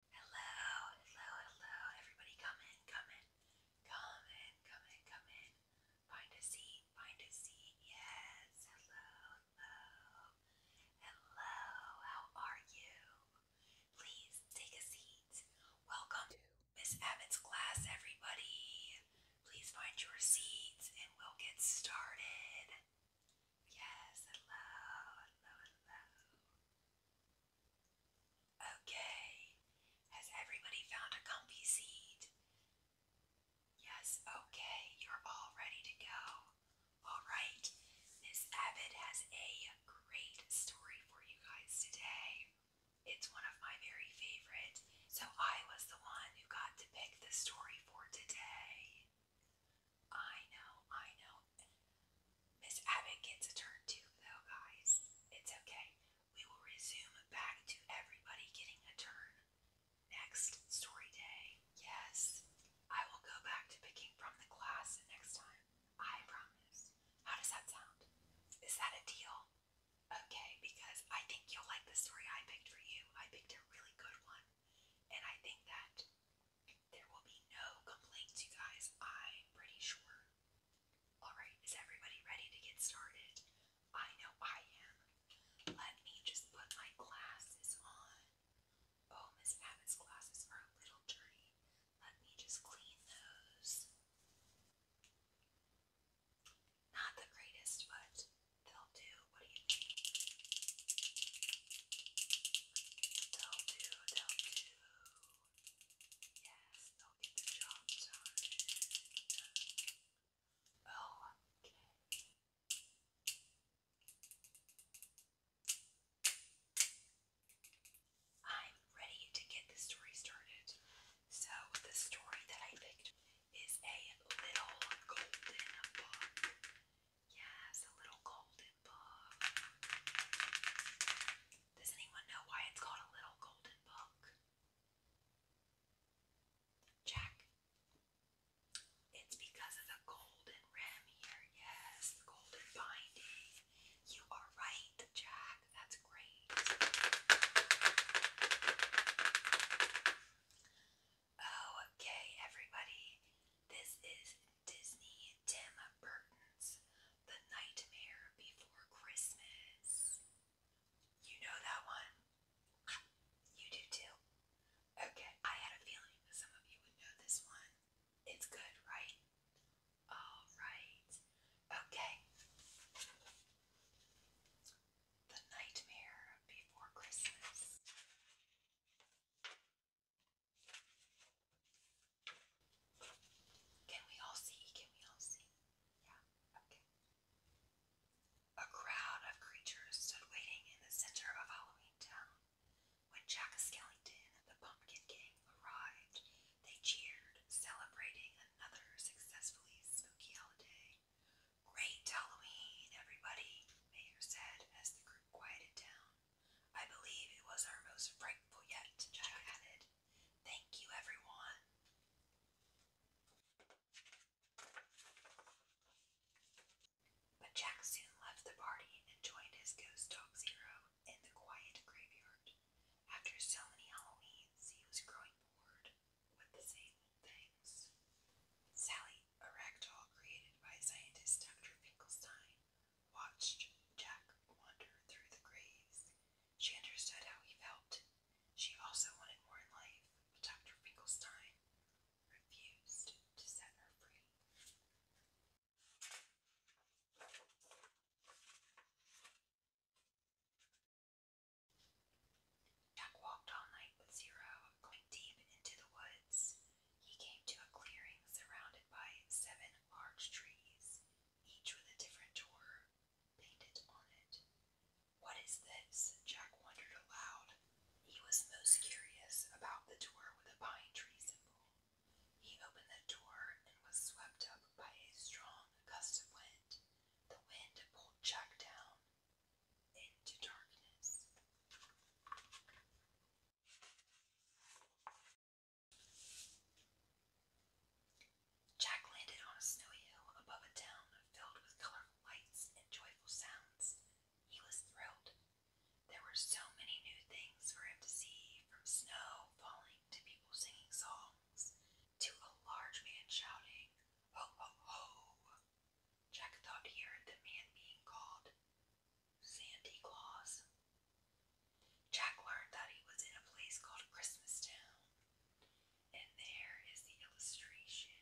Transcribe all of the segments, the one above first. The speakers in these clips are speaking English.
Hello, hello, hello. Everybody come in, come in. Come in, come in, come in. Find a seat, find a seat. Yes. Hello, hello. Hello, how are you? Please take a seat. Welcome to Miss Abbott's class, everybody. Please find your seats and we'll get started. Yes, hello, hello, hello. Okay. Has everybody found a comfy seat? Yes, okay. You're all ready to go. All right. Miss Abbott has a great story for you guys today. It's one of my very favorite. So I was the one who got to pick the story for today. I know, I know. Miss Abbott gets a turn too, though, guys. It's okay. We will resume back to everybody getting a turn next story day. Yes, I will go back to picking from the class next time. I promise. How does that sound? Is that a deal? Okay, because I think you'll like the story I picked for you. I picked a really good one. And I think that there will be no complaints, you guys, I'm pretty sure. Alright, is everybody ready to get started? I know I am. Let me just put my glasses on. Oh, Miss Abbott's glasses are a little dirty. Let me just clean those. Not the greatest, but they'll do. What do you think? Tell Yes, they'll get the job done. Oh, okay. I'm ready to get the story started. So, the story that I picked is a little golden book. Yes, a little golden book. Does anyone know why it's called a little golden book? Jack. It's because of the golden rim here. Yes, the golden binding. You are right, Jack. That's great. Oh, okay, everybody. This is Disney Tim Burton's The Nightmare Before Christmas. You know that one? You do too. Okay, I had a feeling that some of you would know this one. It's good, right? All right. Okay. The Nightmare Before Christmas. Can we all see? Can we all see? Yeah, okay. A crowd of creatures stood waiting in the center of Halloween Town. When Jack Skellington and the Pumpkin King arrived, they cheered, celebrating another successfully spooky holiday. Great Halloween, everybody, Mayor said as the group quieted down. I believe it was our most frightful yet, Jack added. Thank you, everyone. But Jack soon left the party and joined his ghost dog Zero in the quiet graveyard. After so many Halloweens, he was growing bored with the same things. Sally, a created by scientist Dr. Finkelstein, watched Jack wander through the graves. She understood how he felt. She also wanted more in life, but Dr. Finkelstein refused to set her free. Jack walked all night with Zero, going deep into the woods. He came to a clearing surrounded by seven arch trees, each with a different door painted on it. What is this? Jack wondered aloud. He was most curious about the door with a pine tree symbol. He opened the door and was swept up by a strong gust of wind. The wind pulled Jack down, Jack landed on a snowy hill above a town filled with colorful lights and joyful sounds. He was thrilled. There were so many new things for him to see, from snow falling to people singing songs to a large man shouting, Ho, ho, ho! Jack thought he heard the man being called Sandy Claus. Jack learned that he was in a place called Christmastown. And there is the illustration.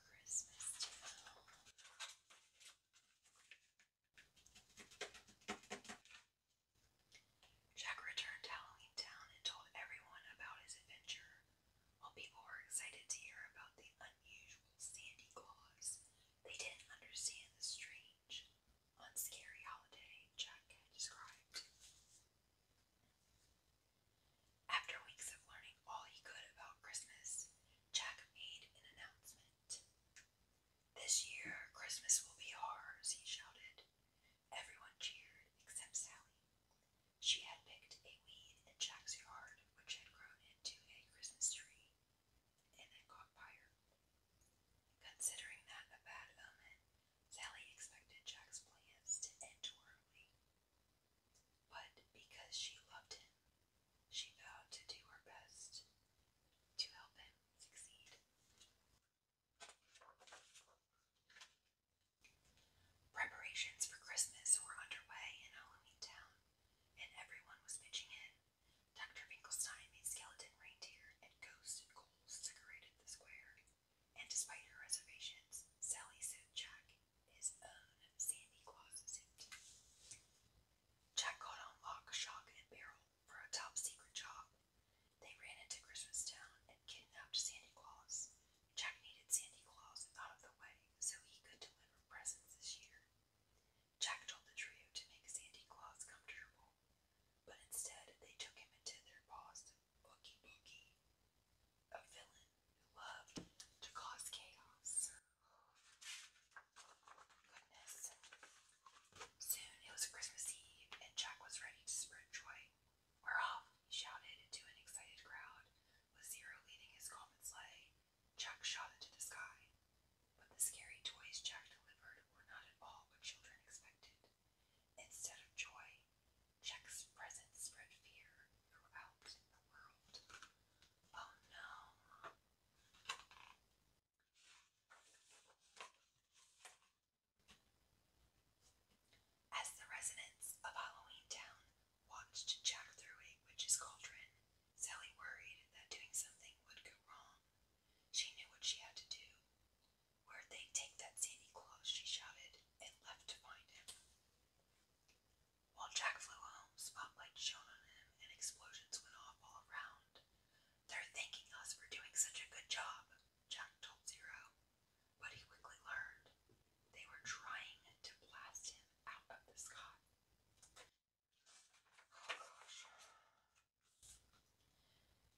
Christmastown. Jack returned to Halloween Town and told everyone about his adventure. While people were excited to hear about the unusual Sandy Claus, they didn't understand the strange, unscary holiday Jack had described. After weeks of learning all he could about Christmas, Jack made an announcement. This year, Christmas will be ours, he shouted. Everyone cheered except Sally. She had picked a weed in Jack's yard, which had grown into a Christmas tree and had caught fire. Considering that a bad omen, Sally expected Jack's plans to end horribly. But because she loved him, she vowed to do her best to help him succeed. Preparations for Christmas were underway in Halloween Town, and everyone was pitching in. Dr. Finkelstein made skeleton reindeer and ghosts and ghouls decorated the square, and despite her reservations, Sally said Jack his own Sandy Claus suit. Jack caught on lock, shock, and barrel for a top secret job. They ran into Christmas Town and kidnapped Santa Claus. Jack needed Santa Claus out of the way so he could deliver presents this year. Jack told the trio to make Santa Claus comfortable, but instead they took him into their boss, Bookie Bookie, a villain who loved to cause chaos. Soon it was Christmas Eve, and Jack was ready to spread joy. We're off, he shouted to an excited crowd, with Zero leading his common sleigh. Jack shot into the sky. But the scary toys Jack delivered were not at all what children expected. Instead of joy, Jack's presence spread fear throughout the world. Oh no. As the residents of Halloween Town watched Jack through a witch's cauldron, Sally worried that doing something would go wrong. She knew what she had to do. Where'd they take that Sandy Claus? she shouted, and left to find him. While Jack flew home, spotlights shone on him and explosions went off all around. They're thanking us for doing such a good job, Jack told Zero, but he quickly learned they were trying to blast him out of the sky.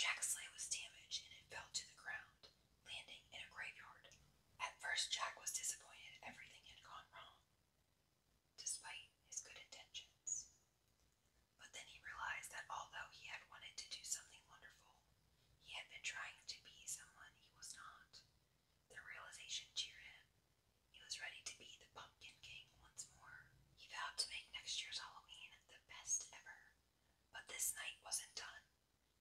Jack's sleigh was damaged and it fell to the ground, landing in a graveyard. At first, Jack was disappointed everything had gone wrong despite his good intentions. But then he realized that although he had wanted to do something wonderful, he had been trying to be someone he was not. The realization cheered him. He was ready to be the Pumpkin King once more. He vowed to make next year's Halloween the best ever. But this night wasn't done.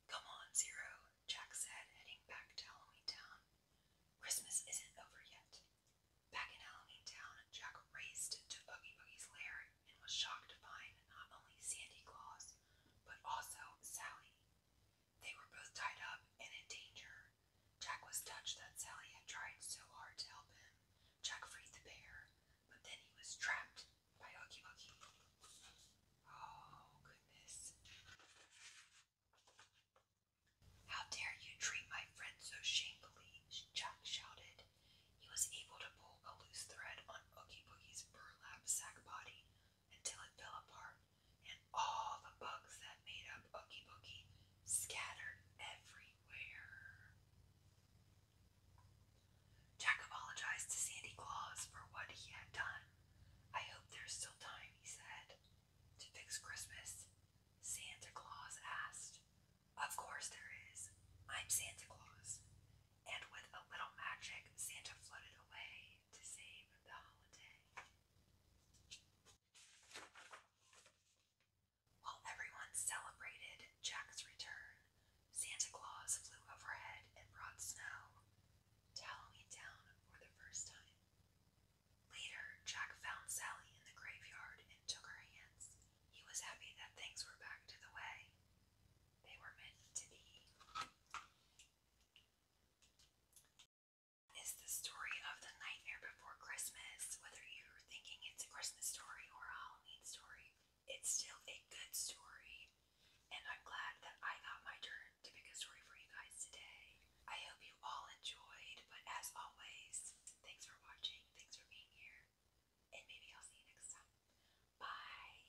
Come on, Zero, Jack said, heading back to Halloween Town. Christmas isn't over yet. Back in Halloween Town, Jack raced to Oogie Boogie's lair and was shocked to find not only Sandy Claus, but also Sally. They were both tied up and in danger. Jack was touched that Sally had tried so hard to help him. Jack freed the bear, but then he was trapped by Oogie Boogie. Oh, goodness. How dare you treat my friend so shamefully? Jack shouted. He was able to pull a loose thread on Oogie Boogie's burlap sack body until it fell apart, and all the bugs that made up Oogie Boogie scattered everywhere. Jack apologized to Sandy Claus for what he had done. I hope there's still time, he said to fix Christmas? Santa Claus asked. Of course there is. I'm Santa Claus. And with a little magic, Santa floated away to save the holiday. While everyone celebrated Jack's return, Santa Claus flew overhead and brought snow to Halloween Town for the first time. Later, Jack found Sally in the graveyard and took her hands. He was happy that things were back to the way they were meant to be. Is the story of the nightmare before Christmas, whether you're thinking it's a Christmas story or a Halloween story, it's still a good story. And I'm glad that I got my turn to pick a story for you guys today. I hope you all enjoyed, but as always, thanks for watching, thanks for being here, and maybe I'll see you next time. Bye!